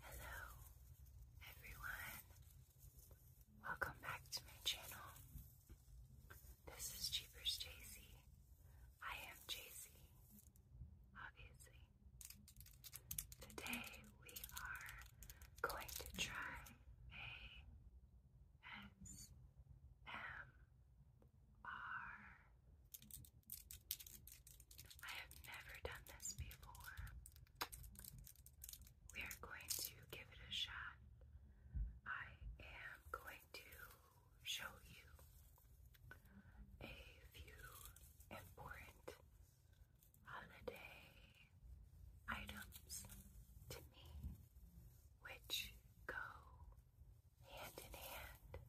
Hello, everyone. Welcome back to my channel. This is Jeepers JC. I am JC, obviously. Today we are going to try a S M R I have never done this before. We are going to give it a shot. I am going to show you a few important holiday items to me which go hand in hand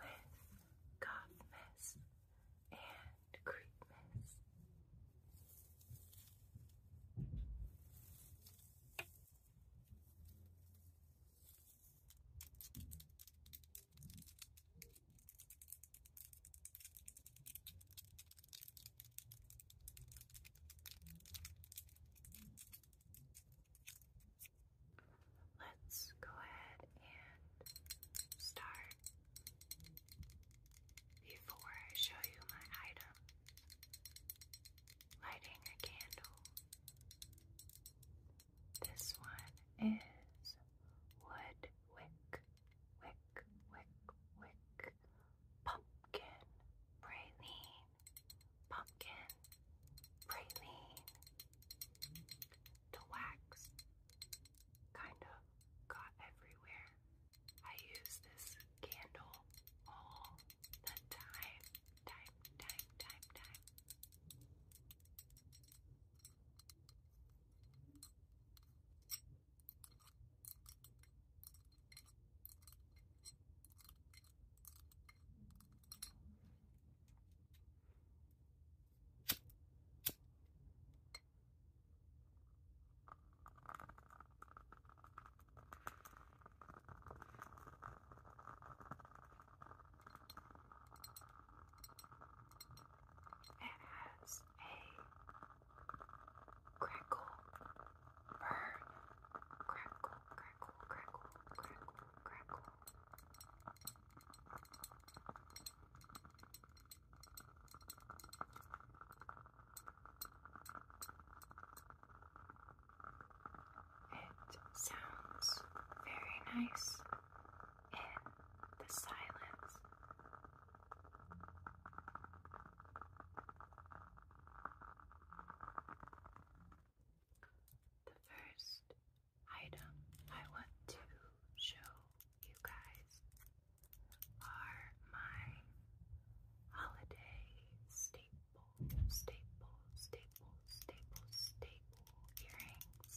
with goth mist and creep mist. Let's go ahead and start before I show you my item. Lighting a candle. This one is wood wick, wick, wick, wick, pumpkin, praline, pumpkin, praline. The wax kind of got everywhere. I use this candle all the time, time, time, time, time. It has a crackle, burn, crackle, crackle, crackle, crackle, crackle, it sounds very nice in the silence. The first item I want to show you guys are my holiday staple, staple, staple, staple, staple earrings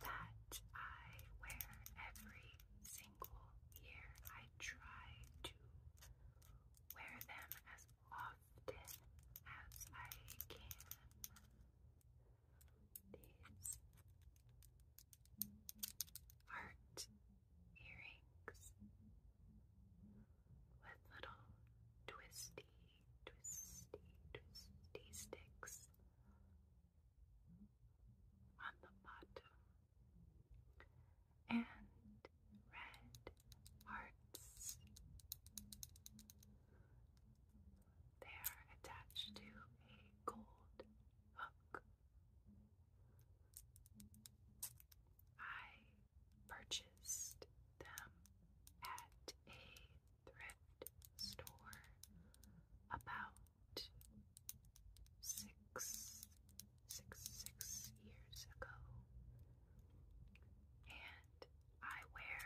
that I wear every single year. I try to wear them as often as I can. These heart earrings with little twisty, twisty, twisty sticks on the bottom and red hearts. They are attached to a gold hook. I purchased them at a thrift store about six, six, six years ago, and I wear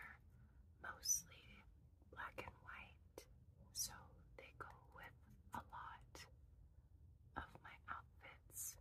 mostly black and white, so they go with a lot of my outfits.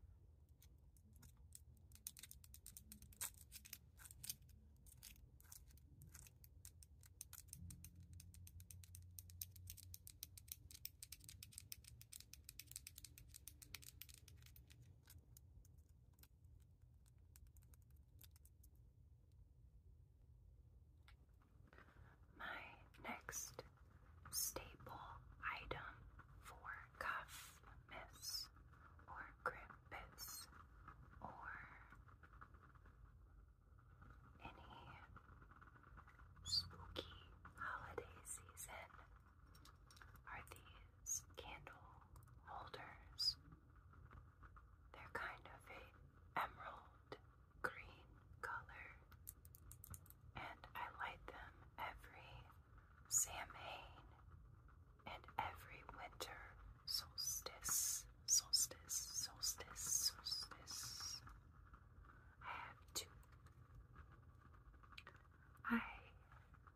My next staple item for cuff miss or grip bits or any spooky holiday season are these candle holders they're kind of a emerald green color, and I light them every Samhain and every winter solstice, solstice, solstice, solstice. I have two. I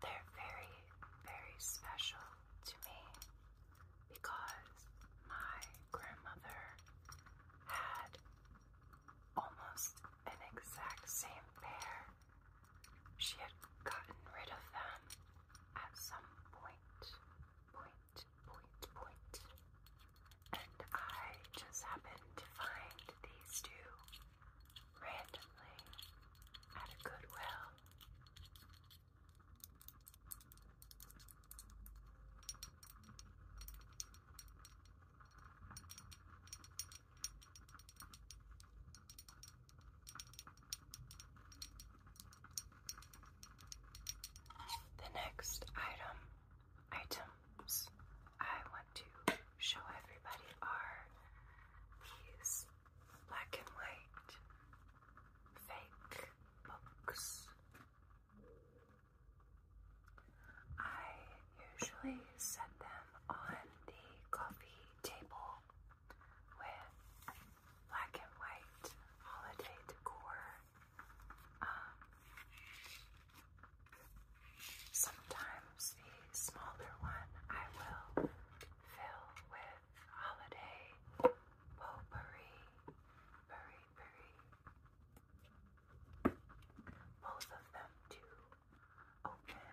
They're very, very special to me because my grandmother had almost an exact same pair. She had gotten rid of them at some point, point point, point. And I just happened to find these two randomly at a Goodwill. The next item, items I want to show everybody are these black and white fake books. I usually set them on the coffee table with black and white holiday decor um, sometimes the smaller one I will fill with holiday potpourri, Both of them to open.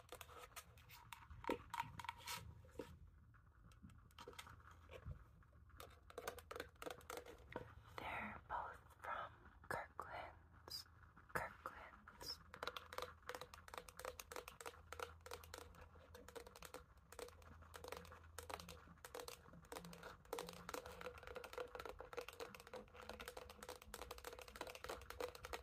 They're both from Kirkland's. Kirkland's.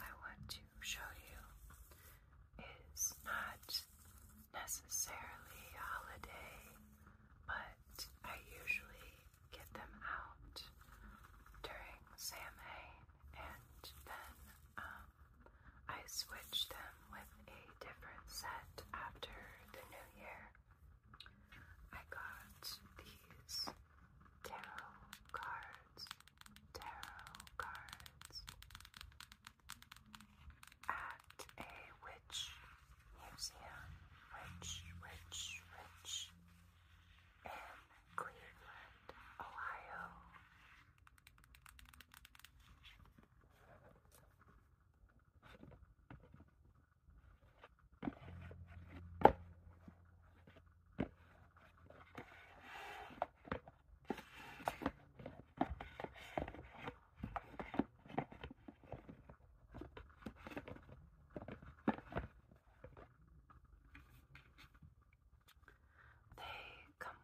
I want to show you is not necessarily holiday, but I usually get them out during Samhain and then um, I switch them with a different set after the new year. I got these tarot cards tarot cards at a witch museum, witch, witch, witch in Cleveland, Ohio. They come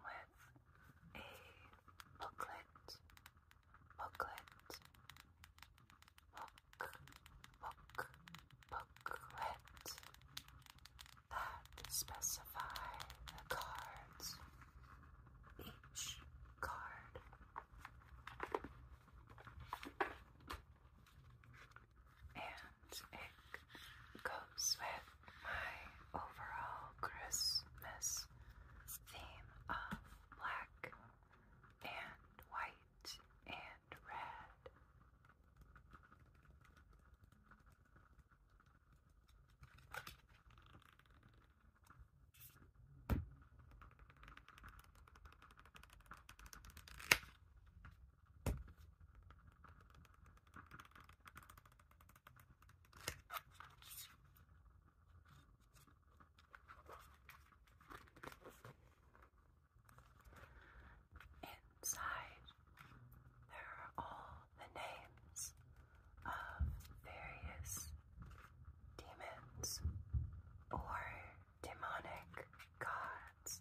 with a booklet, booklet, book, book, booklet, that specify the cards. Each card and it goes with my overall Christmas theme of black and white and red. Inside there are all the names of various demons or demonic gods.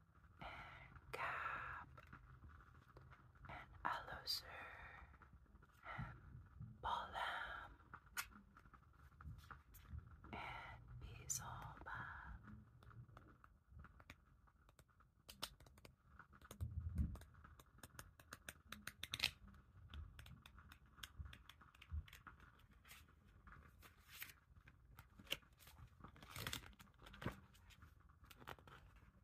and cap and Aloser and Balam and Bizoba.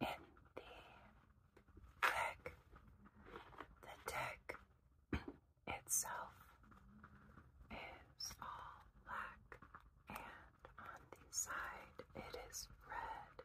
in the deck, the deck itself is all black, and on the side it is red.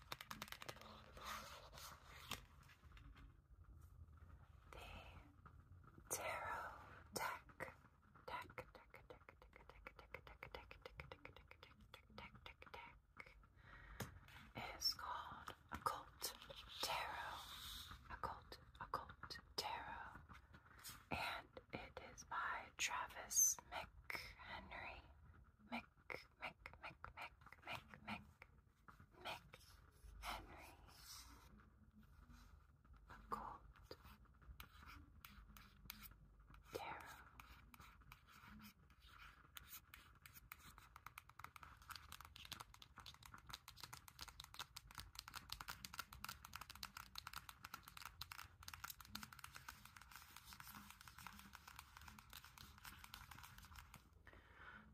The tarot deck. Deck, deck, deck, deck, deck, deck, deck, deck, deck, deck, is called Occult Tarot. Occult, Occult Tarot. And it is by Travis McHenry. Mick Mick, Mick, Mick, Mick, Mick, Mick Henry. Colt. Tara.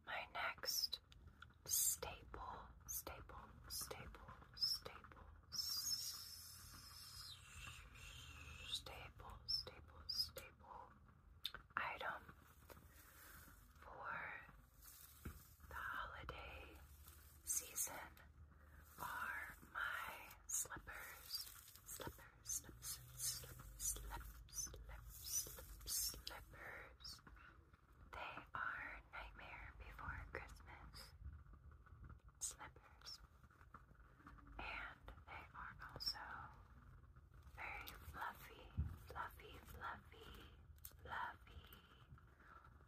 My next staple, staple, staple, staple, staple, staple, staple item for the holiday season are my slippers slippers, slippers, slippers, slippers. They are Nightmare Before Christmas slippers. And they are also very fluffy, fluffy, fluffy, fluffy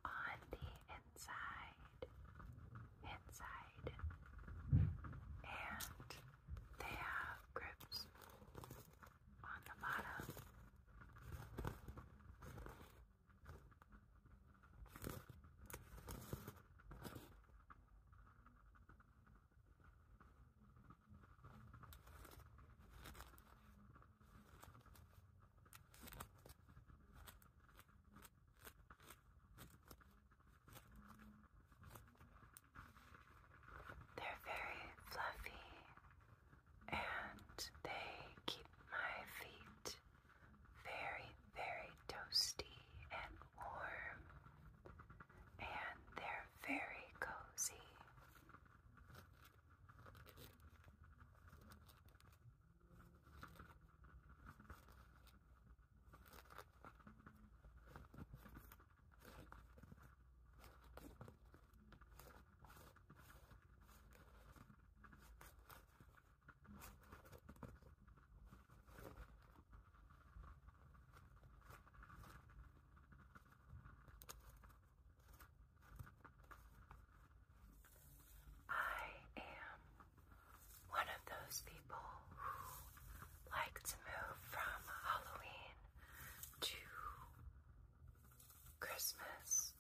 on the inside. Inside. And they have grips on the bottom. They're very fluffy and they keep my feet very, very toasty and warm, and they're very cozy. I am one of those people who like to move from Halloween to Christmas,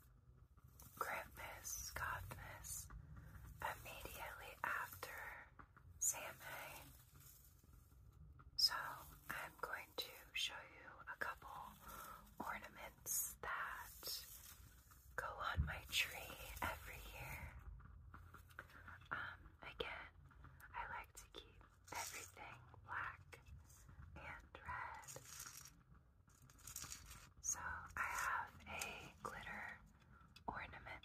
Christmas, Godmas, immediately after Samhain. So I'm going to show you a couple ornaments that go on my tree every year. Um, again, I like to keep everything black and red. So I have a glitter ornament.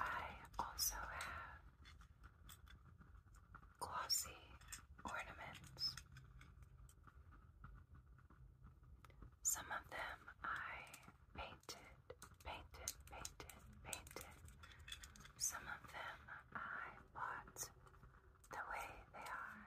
I also have glossy ornaments. Some of them I painted, painted, painted, painted. Some of them I bought the way they are.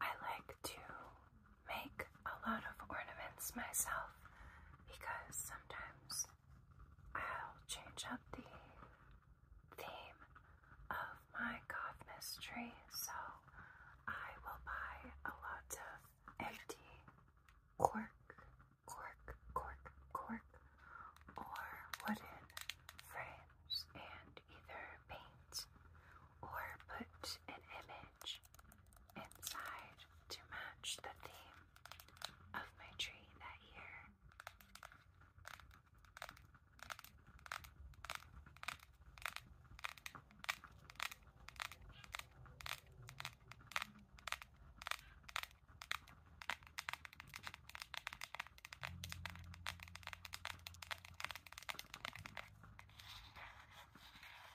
I like to make a lot of ornaments myself because sometimes I'll change up the theme of my Godmas tree, so I will buy a lot of empty cork, cork, cork, cork, or wooden frames and either paint or put an image inside to match the theme of my tree that year.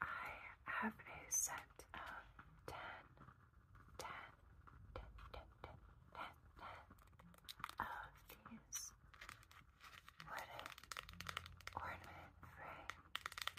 I have a set of ten, ten, ten, ten, ten, ten, ten of these wooden ornament frames. I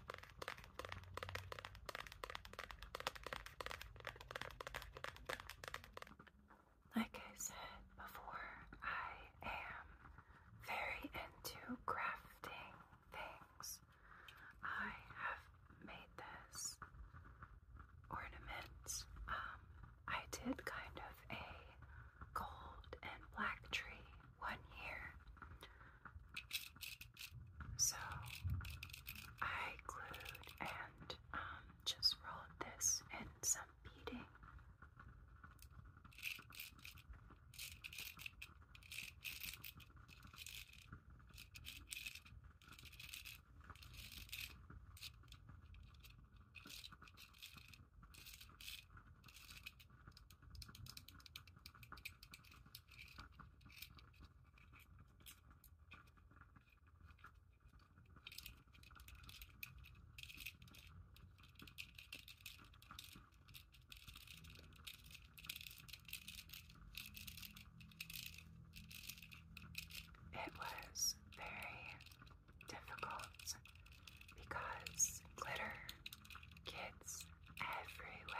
Like I said before, I am very into crafting things. I have made this ornament. Um, I did kind of a gold and black tree one year. So I glued and um, just rolled this in some beading. It was very difficult because glitter kids everywhere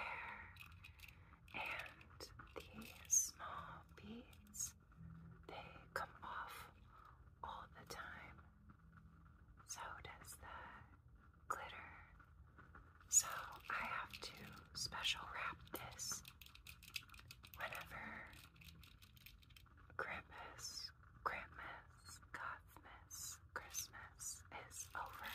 and the small beads, they come off all the time. So does the glitter. So I have to special wrap this whenever Krampus, Krampus, Godmas, Christmas is over.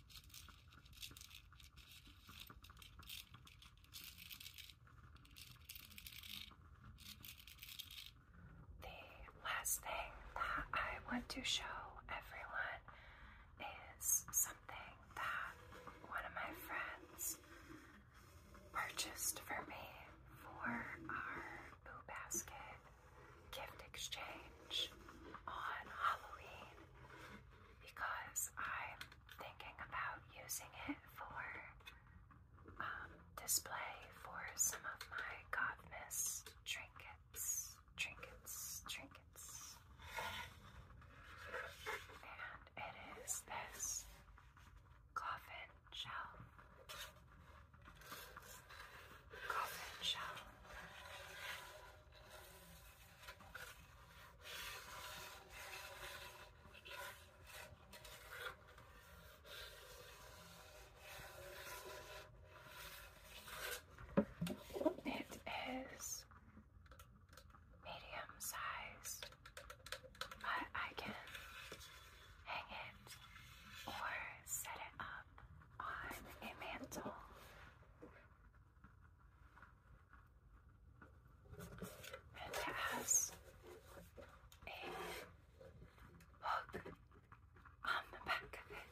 The last thing that I want to show everyone is something that one of my friends purchased for me for our Boo Basket gift exchange on Halloween because I'm thinking about using it for um, display for some of my God Miss trinkets, trinkets, trinkets. And it is this coffin shell. Coffin shell. It is medium size, but I can hang it or set it up on a mantle. And it has a hook on the back of it.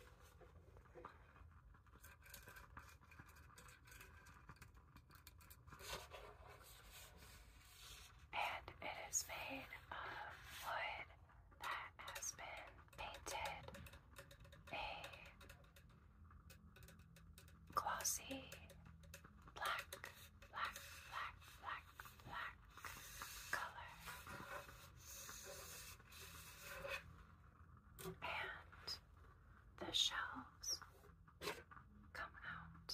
And it is made of wood that has been painted a glossy black, black, black, black, black color. And the shelves come out.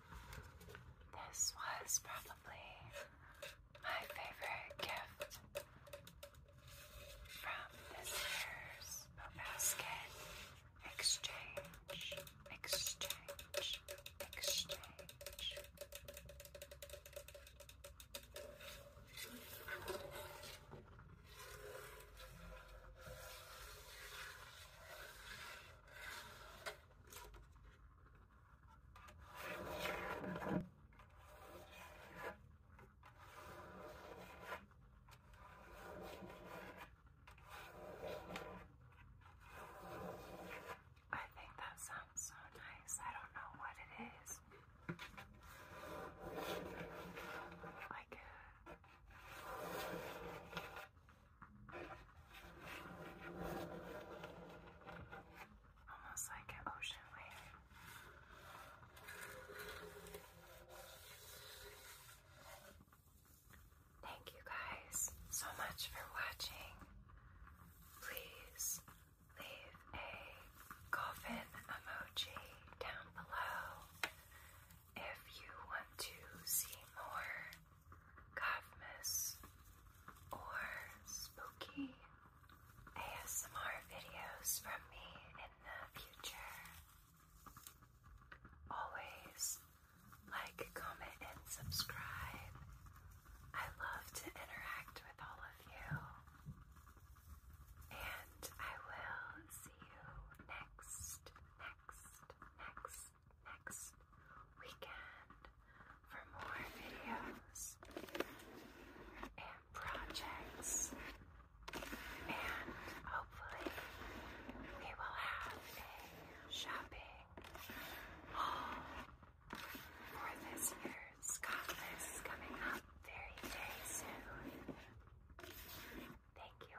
This was probably my favorite gift from this year's basket exchange, exchange, exchange. I think that sounds so nice. I don't know what it is. Like Almost like an ocean wave. Thank you guys so much for watching. Please leave a coffin emoji down below if you want to see more Kafmas or spooky ASMR videos from me in the future. Always like, comment, and subscribe. I love to interact with all of you. And I will see you next, next, next, next weekend for more videos and projects, and hopefully, we will have a shopping haul for this year's Cotfest coming up very, very soon. Thank you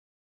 all.